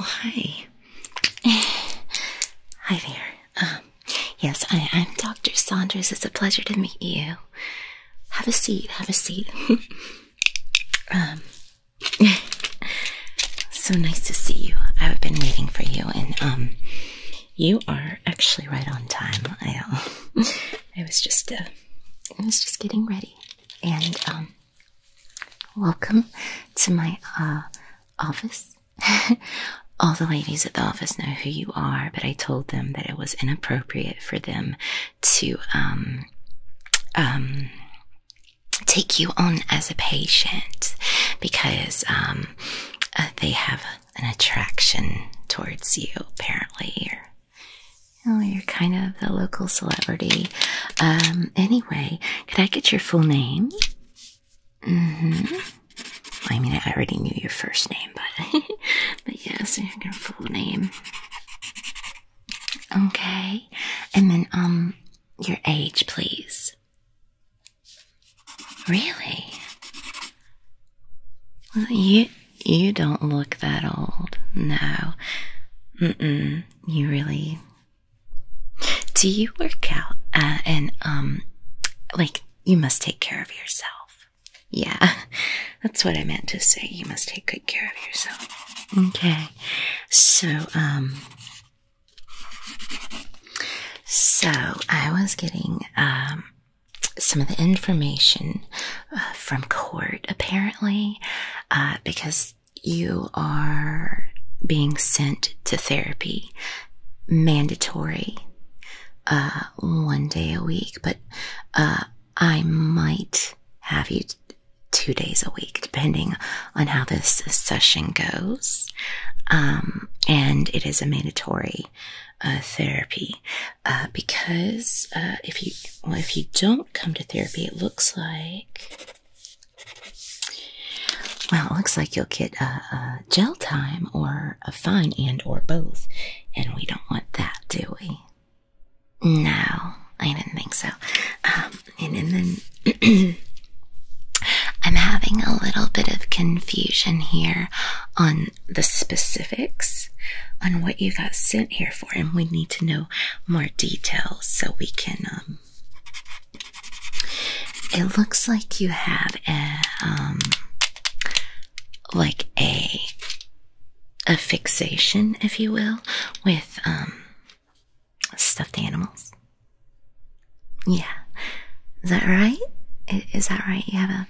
Oh, hi. Hi there. Um, yes, I, am Dr. Saunders. It's a pleasure to meet you. Have a seat, have a seat. um, so nice to see you. I've been waiting for you, and um, you are actually right on time. I um, I was just uh, I was just getting ready, and um, welcome to my uh, office. All the ladies at the office know who you are, but I told them that it was inappropriate for them to um um take you on as a patient because um uh, they have an attraction towards you, apparently. you know, oh, you're kind of a local celebrity. Um, anyway, could I get your full name? Mm-hmm. I mean, I already knew your first name, but but yes, yeah, so your full name. Okay, and then um, your age, please. Really? you you don't look that old. No. Mm-mm. You really Do you work out uh, and um like you must take care of yourself. Yeah. That's what I meant to say. You must take good care of yourself. Okay. So um so, I was getting um, some of the information uh, from court apparently, uh, because you are being sent to therapy mandatory uh, one day a week, but I might have you two days a week, depending on how this session goes. Um, and it is a mandatory uh, therapy uh, because uh, if you well, if you don't come to therapy, it looks like well, it looks like you'll get a, a jail time or a fine and or both, and we don't want that, do we? No, I didn't think so. Um, and then I'm having a little bit of confusion here on the specifics on what you got sent here for and we need to know more details so we can um, it looks like you have a um, like a a fixation if you will with um, stuffed animals. Yeah. Is that right? Is that right? You have a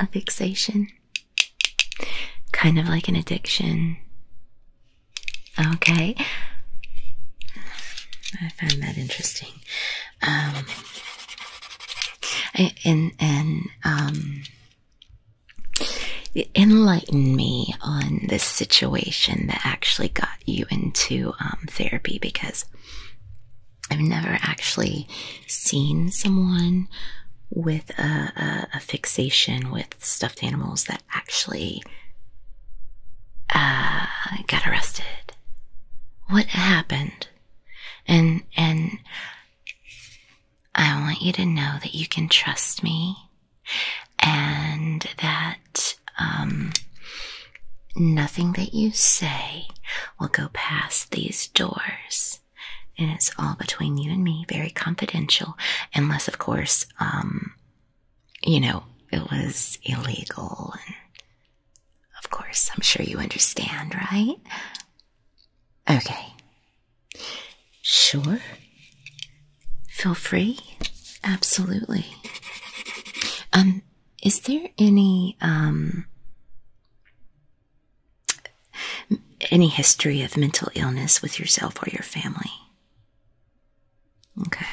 a fixation? Kind of like an addiction. Okay. I find that interesting. Um and and um enlighten me on this situation that actually got you into um, therapy because I've never actually seen someone with a, fixation with stuffed animals that actually uh, got arrested. What happened? And and I want you to know that you can trust me and that um, nothing that you say will go past these doors. And it's all between you and me, very confidential, unless, of course, um, you know, it was illegal. And of course, I'm sure you understand, right? Okay. Sure. Feel free. Absolutely. Um, is there any, um, any history of mental illness with yourself or your family? Okay.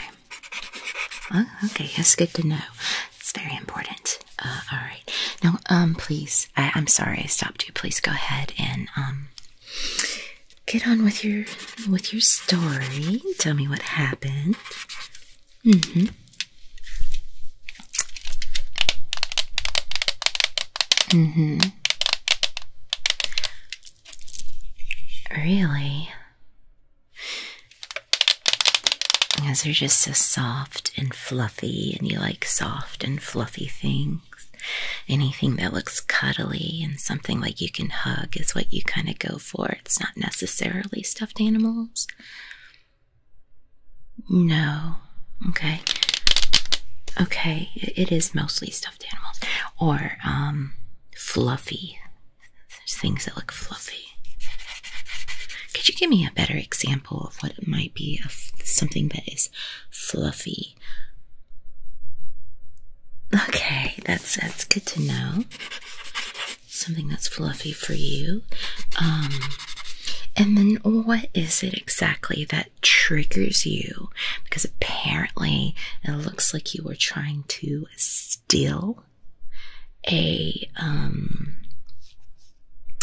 Oh, okay, that's good to know. It's very important. Uh, all right. Now, um, please, I'm sorry I stopped you. Please go ahead and, um, Get on with your with your story. Tell me what happened. Mm-hmm. Mm-hmm. Really? Because they're just so soft and fluffy, and you like soft and fluffy things. Anything that looks cuddly and something like you can hug is what you kind of go for. It's not necessarily stuffed animals. No. Okay. Okay, it is mostly stuffed animals or um fluffy. There's things that look fluffy. Could you give me a better example of what it might be of something that is fluffy? Okay, that's that's good to know. Something that's fluffy for you. Um and then what is it exactly that triggers you? Because apparently it looks like you were trying to steal a um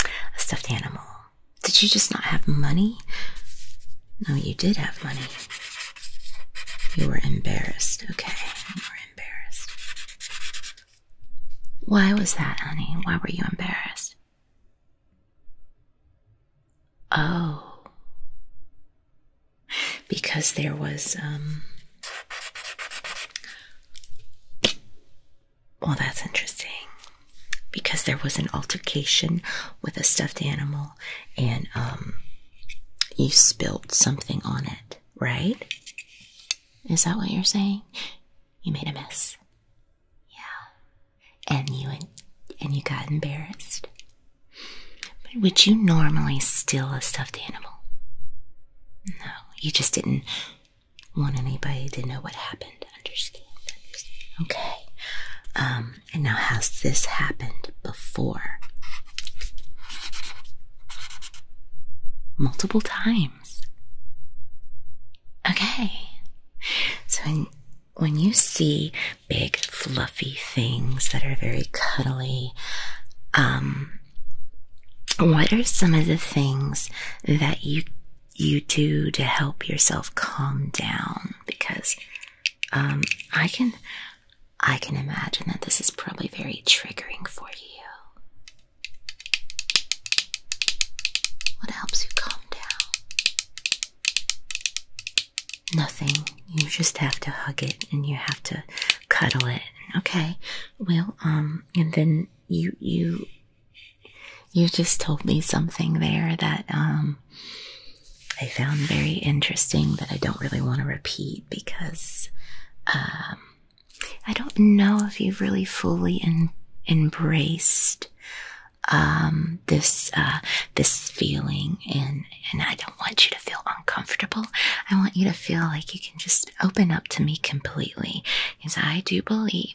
a stuffed animal. Did you just not have money? No, you did have money. You were embarrassed. Okay, you were embarrassed. Why was that, honey? Why were you embarrassed? Oh. Because there was, um. Well, that's interesting. Because there was an altercation with a stuffed animal and um, you spilt something on it, right? Is that what you're saying? You made a mess. Yeah. And you and you got embarrassed. But would you normally steal a stuffed animal? No, you just didn't want anybody to know what happened. Understand? understand. Okay. Um, and now, has this happened before? Multiple times. Okay. So, when you see big, fluffy things that are very cuddly, um, what are some of the things that you you do to help yourself calm down? Because um, I can, I can imagine that this is probably very triggering for you. What helps you calm down? Nothing. You just have to hug it and you have to cuddle it. Okay. Well, um, and then you, you, you just told me something there that, um, I found very interesting that I don't really want to repeat because um, I don't know if you've really fully embraced um, this uh, this feeling, and and I don't want you to feel uncomfortable. I want you to feel like you can just open up to me completely, because I do believe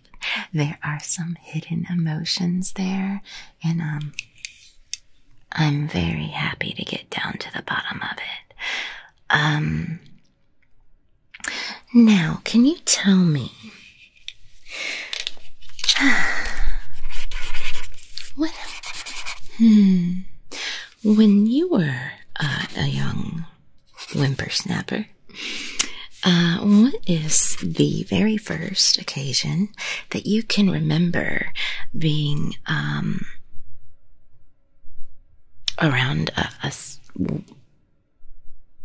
there are some hidden emotions there, and um, I'm very happy to get down to the bottom of it. Um, now, can you tell me what? Hmm. When you were uh, a young whippersnapper, uh, what is the very first occasion that you can remember being um, around a,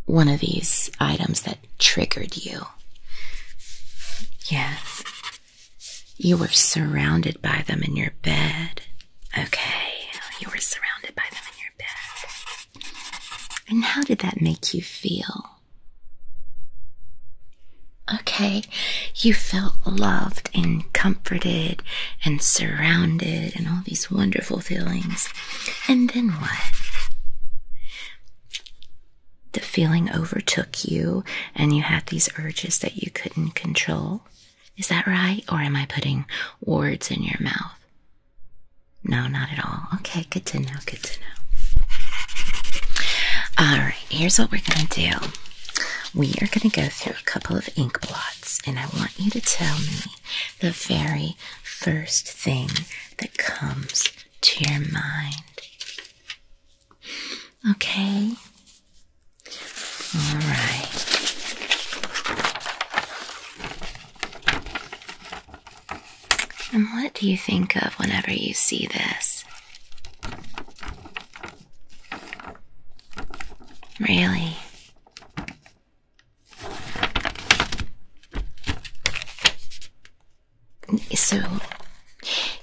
one of these items that triggered you? Yes. You were surrounded by them in your bed. Okay, you were surrounded by them in your bed. And how did that make you feel? Okay, you felt loved and comforted and surrounded and all these wonderful feelings. And then what? The feeling overtook you and you had these urges that you couldn't control. Is that right? Or am I putting words in your mouth? No, not at all. Okay, good to know. Good to know. All right, here's what we're going to do. We are going to go through a couple of ink blots, and I want you to tell me the very first thing that comes to your mind. Okay? All right. And what do you think of whenever you see this? Really? So,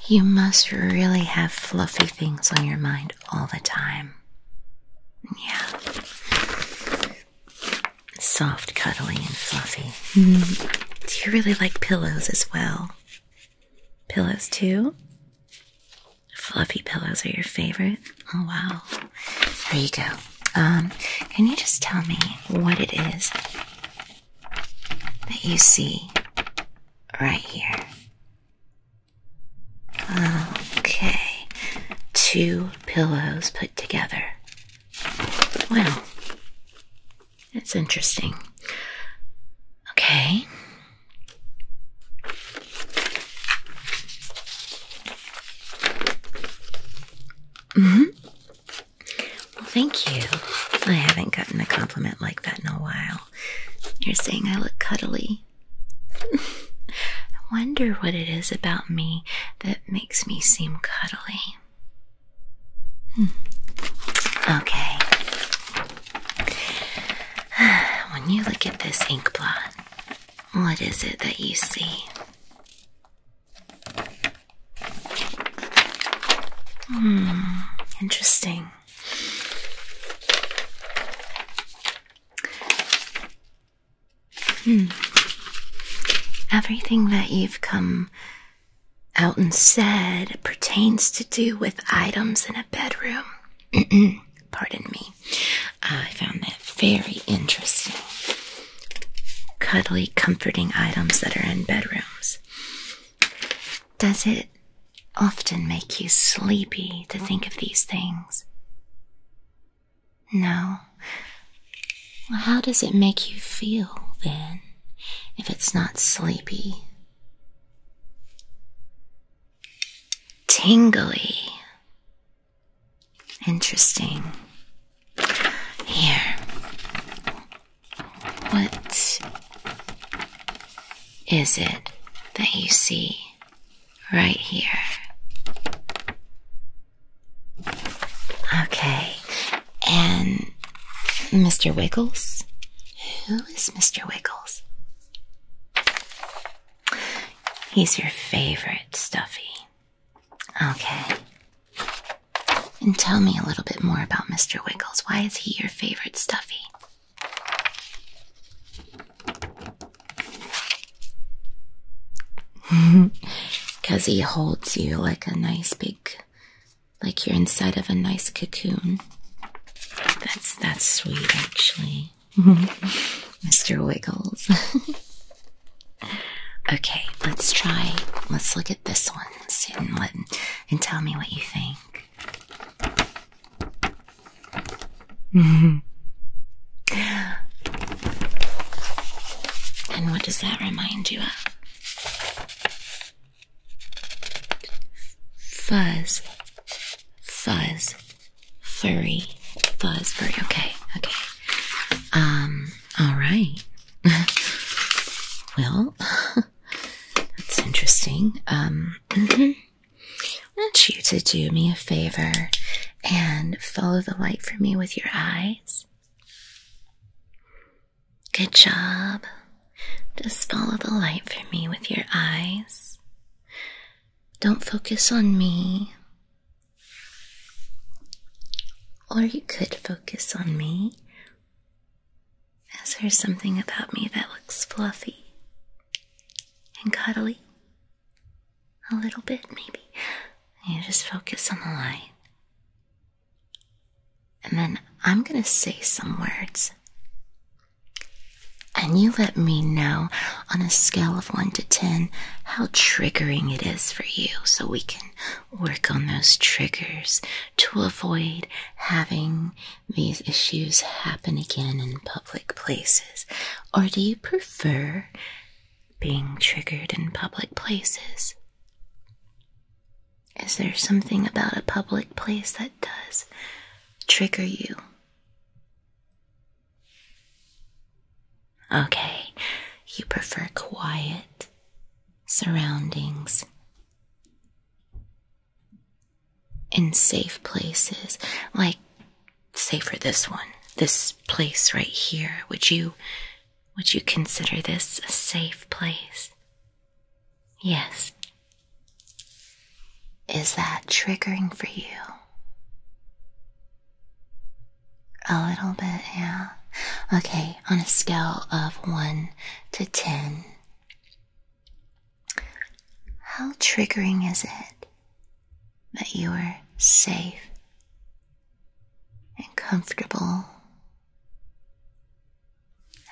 you must really have fluffy things on your mind all the time. Yeah soft, cuddly, and fluffy. Mm-hmm. Do you really like pillows as well? Pillows too? Fluffy pillows are your favorite? Oh, wow. There you go. Um, can you just tell me what it is that you see right here? Okay, two pillows put together. Wow, that's interesting. Okay. Mm-hmm. Well, thank you. I haven't gotten a compliment like that in a while. You're saying I look cuddly. I wonder what it is about me that it makes me seem cuddly. Hmm. Okay. When you look at this ink blot, what is it that you see? Hmm, interesting. Hmm. Everything that you've come out and said pertains to do with items in a bedroom. Pardon me. I found that very interesting. Cuddly, comforting items that are in bedrooms. Does it often make you sleepy to think of these things? No. how does it make you feel then, if it's not sleepy? Tingly. Interesting. Here. What is it that you see right here? Okay, and Mr. Wiggles? Who is Mr. Wiggles? He's your favorite, Stuffy. Okay. And tell me a little bit more about Mr. Wiggles. Why is he your favorite, Stuffy? Because he holds you like a nice big, like you're inside of a nice cocoon. That's that's sweet, actually, Mr. Wiggles. okay, let's try. Let's look at this one and let, and tell me what you think. And what does that remind you of? Fuzz, fuzz, furry, fuzz, furry. Okay, okay. Um, all right. well, that's interesting. Um, mm-hmm. I want you to do me a favor and follow the light for me with your eyes. Good job. Just follow the light for me with your eyes. Don't focus on me. Or you could focus on me. Is there something about me that looks fluffy and cuddly? A little bit, maybe. You just focus on the light. And then I'm going to say some words. And you let me know on a scale of 1 to 10 how triggering it is for you so we can work on those triggers to avoid having these issues happen again in public places. Or do you prefer being triggered in public places. Is there something about a public place that does trigger you? Okay, you prefer quiet surroundings in safe places like say for this one, this place right here, would you would you consider this a safe place? Yes. Is that triggering for you? A little bit, yeah. Okay, on a scale of 1 to 10, how triggering is it? that you are safe and comfortable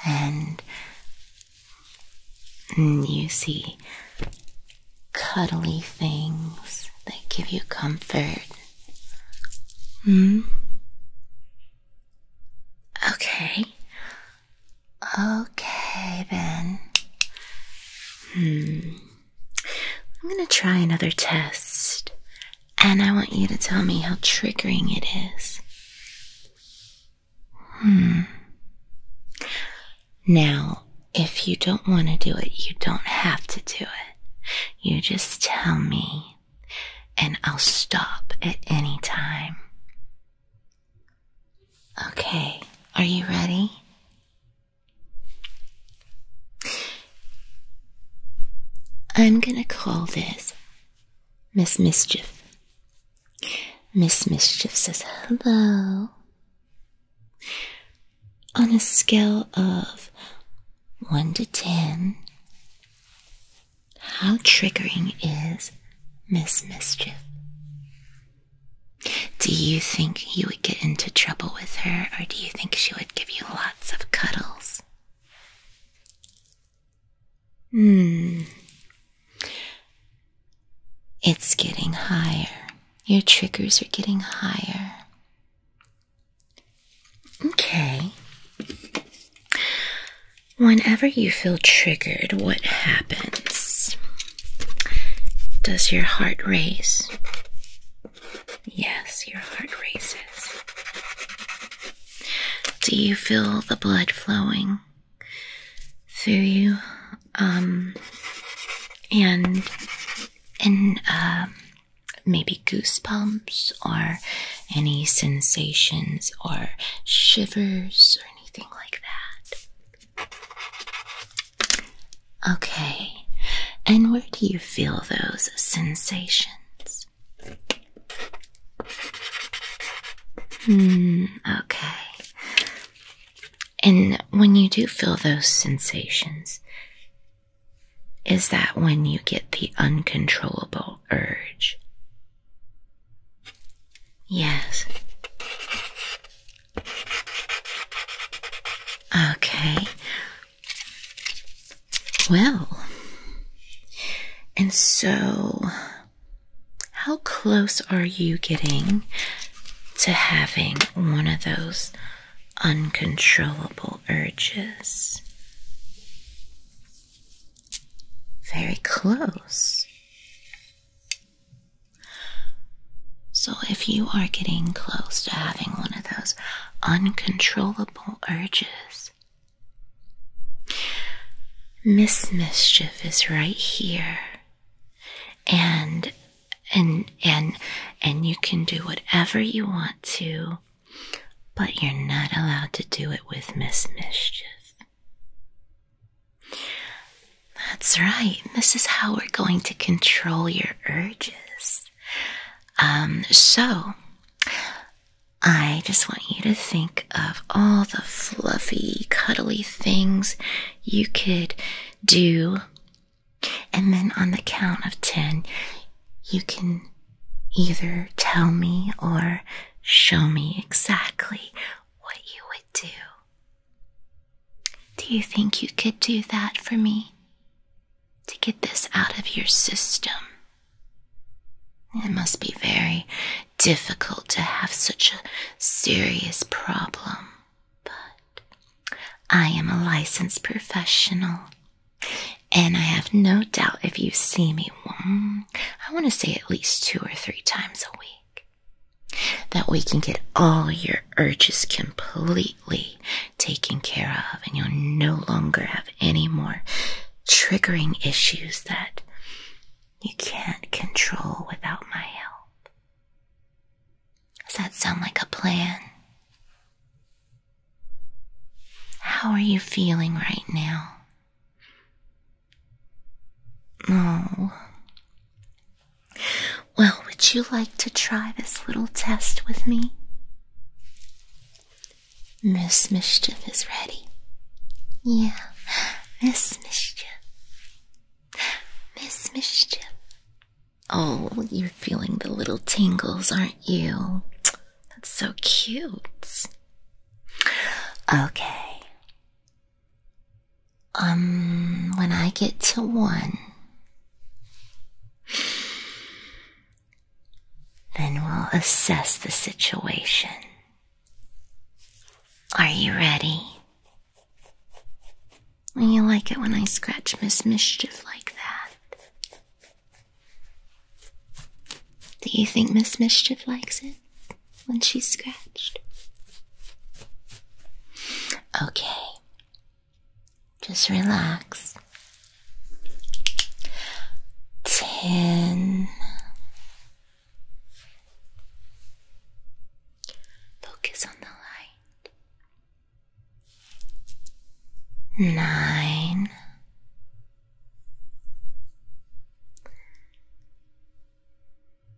and you see cuddly things that give you comfort. Hmm? Okay. Okay, then. Hmm. I'm going to try another test, and I want you to tell me how triggering it is. Hmm. Now, if you don't want to do it, you don't have to do it. You just tell me, and I'll stop at any time. Okay, are you ready? I'm gonna call this Miss Mischief. Miss Mischief says hello. On a scale of 1 to 10, how triggering is Miss Mischief? Do you think you would get into trouble with her, or do you think she would give you lots of cuddles? Hmm. It's getting higher. Your triggers are getting higher. Okay. Whenever you feel triggered, what happens? Does your heart race? Yes, your heart races. Do you feel the blood flowing through you? Um, and and uh, maybe goosebumps or any sensations or shivers or anything like that. Okay, and where do you feel those sensations? Hmm, okay. And when you do feel those sensations, is that when you get the uncontrollable urge? Yes. Okay. Well, and so how close are you getting to having one of those uncontrollable urges? Very close. So, if you are getting close to having one of those uncontrollable urges, Miss Mischief is right here. And and and and you can do whatever you want to, but you're not allowed to do it with Miss Mischief. That's right. This is how we're going to control your urges. Um, so, I just want you to think of all the fluffy, cuddly things you could do. And then on the count of 10, you can either tell me or show me exactly what you would do do you think you could do that for me? To get this out of your system? It must be very difficult to have such a serious problem, but I am a licensed professional. And I have no doubt if you see me, I want to say at least two or three times a week, that we can get all your urges completely taken care of, and you'll no longer have any more triggering issues that you can't control without my help. Does that sound like a plan? How are you feeling right now? Oh. Well, would you like to try this little test with me? Miss Mischief is ready. Yeah, Miss Mischief. Miss Mischief. Oh, you're feeling the little tingles, aren't you? That's so cute. Okay, um, when I get to one, then we'll assess the situation. Are you ready? You like it when I scratch Miss Mischief like that? Do you think Miss Mischief likes it? when she's scratched. Okay, just relax. Ten. Focus on the light. Nine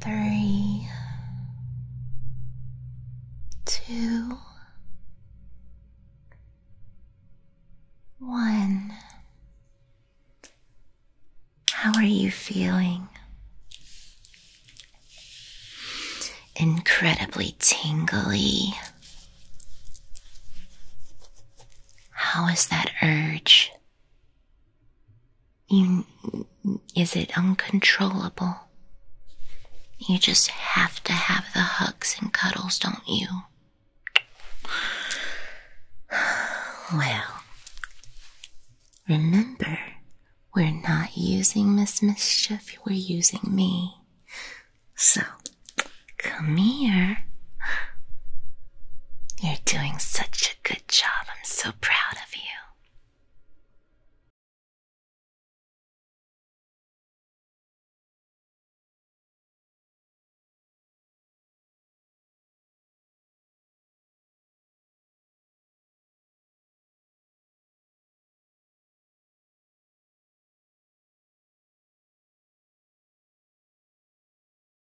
three, two, one. How are you feeling? Incredibly tingly. How is that urge is it uncontrollable? You just have to have the hugs and cuddles, don't you? Well, remember, we're not using Miss Mischief, we're using me. So, come here. You're doing such a good Good job. I'm so proud of you.